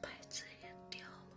牌子也掉了。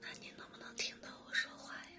那您能不能听到我说话呀？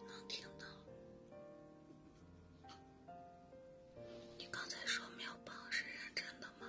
能听到？你刚才说秒榜是认真的吗？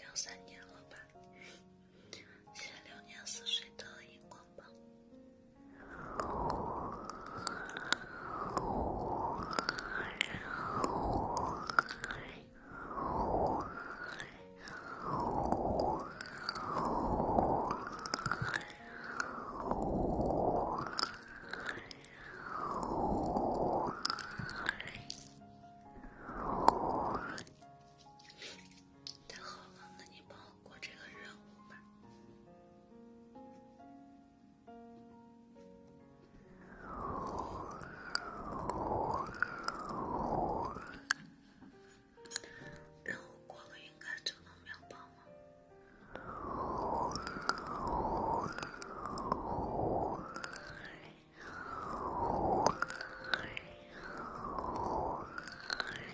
两三年了吧，写流年似水的荧光棒。太好了，那你帮我。过这个任务吧，任务过了应该就能秒榜了。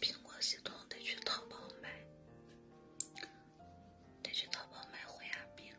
苹果系统得去淘宝买，得去淘宝买回牙币了。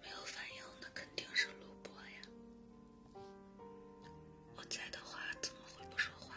没有反应，那肯定是录播呀。我在的话，怎么会不说话？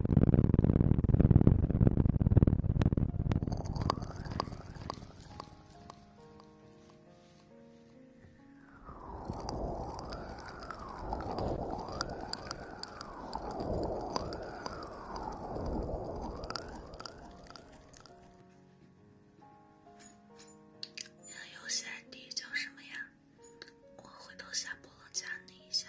你的游戏 ID 叫什么呀？我回头下播了加你一下。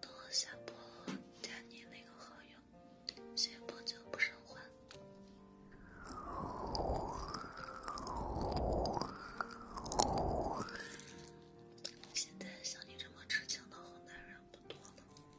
等我下播加你那个好友，先破旧不生还。现在像你这么痴情的好男人不多了。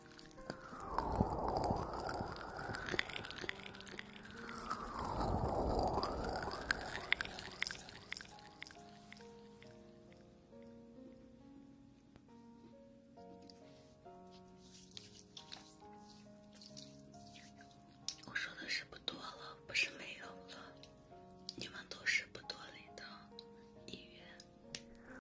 我说的是不多了，不是没有了。你们都是不多里的一员。